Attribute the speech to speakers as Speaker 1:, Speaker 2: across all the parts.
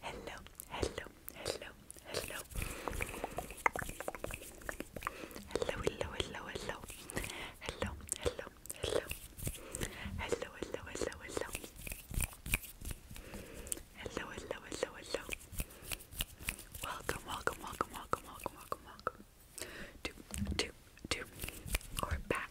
Speaker 1: Hello, hello, hello, hello. Hello, hello, hello, hello. Hello, hello, hello. Hello, hello, hello, hello. Hello, hello, hello, hello. Welcome, welcome, welcome, welcome, welcome, welcome, welcome. To, to, to, or back,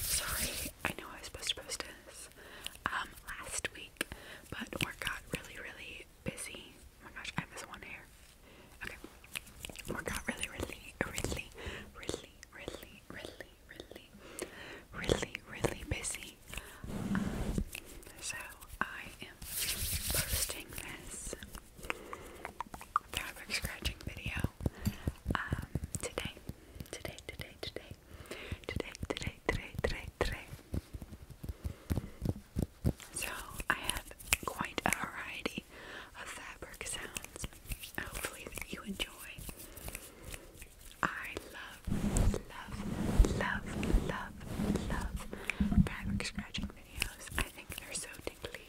Speaker 1: Sorry, I know I was supposed to post this um, last week, but work got really, really busy. Oh my gosh, I miss one hair. Okay. Work got really, really, really, really, really, really, really, really, busy. Um, so I am posting this fabric scratching video um, today today, today, today, today, today, today, today, So I have quite a variety of fabric sounds. Hopefully you enjoy. I love, love, love, love, love fabric scratching videos. I think they're so tingly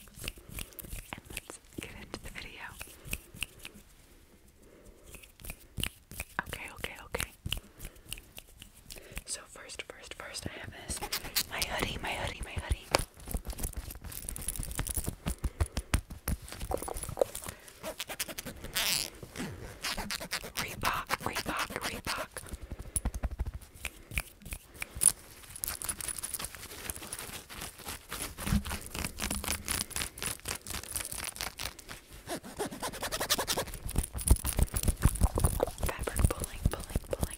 Speaker 1: and let's get into the video. Okay, okay, okay. So first, first, first, I have this. My hoodie, my hoodie, my hoodie. Reebok, Reebok, Reebok. Fabric pulling, pulling, pulling.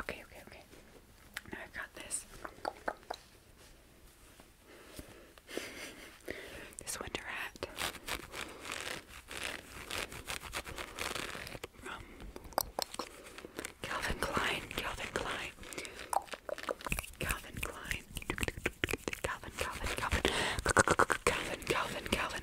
Speaker 1: Okay, okay, okay. Now I've got this this winter hat from Calvin Klein, Calvin Klein, Calvin Klein, Calvin, Calvin, Calvin, Calvin, Calvin, Calvin, Calvin, Calvin, Calvin,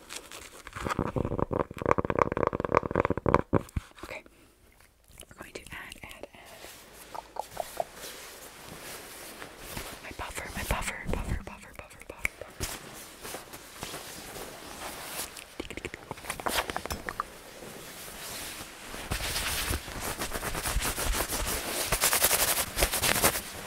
Speaker 1: Okay. We're going to add, add, add. My buffer, my buffer, buffer, buffer, buffer, buffer, buffer.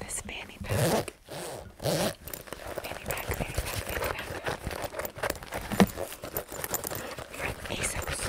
Speaker 1: This fanny pack. Fanny pack, fanny pack, fanny pack. From ASOS.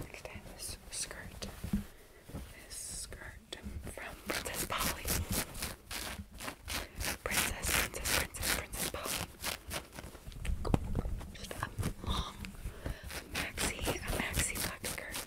Speaker 1: Next this skirt. This skirt from Princess Polly. Princess, Princess, Princess, Princess Polly. Just a long maxi, a maxi black skirt.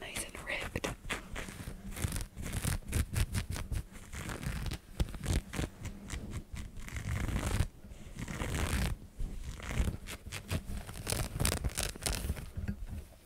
Speaker 1: Nice and ripped.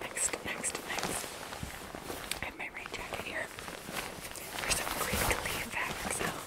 Speaker 1: Next, next, next. I have my rain jacket here for some crinkly fabric sounds.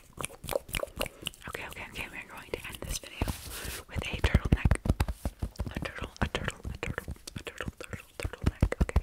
Speaker 1: Okay, okay, okay, we're going to end this video with a turtleneck. A turtle, a turtle, a turtle, a turtle, turtle, turtleneck, okay.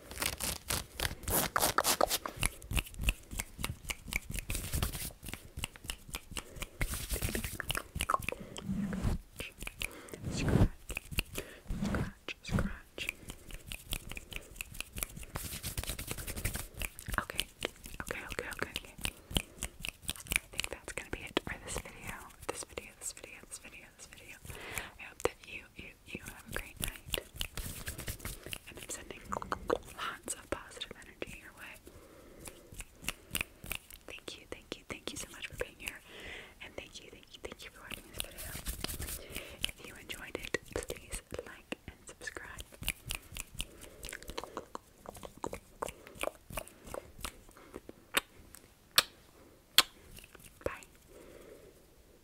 Speaker 1: Scratch, scratch, scratch. Okay, okay, okay, okay, okay. I think that's gonna be it for this video. This video, this video, this video, this video. I hope that you, you have a great night. And I'm sending lots of positive energy your way. Thank you, thank you, thank you so much for being here. And thank you, thank you, thank you for watching this video. If you enjoyed it, please like and subscribe. Bye.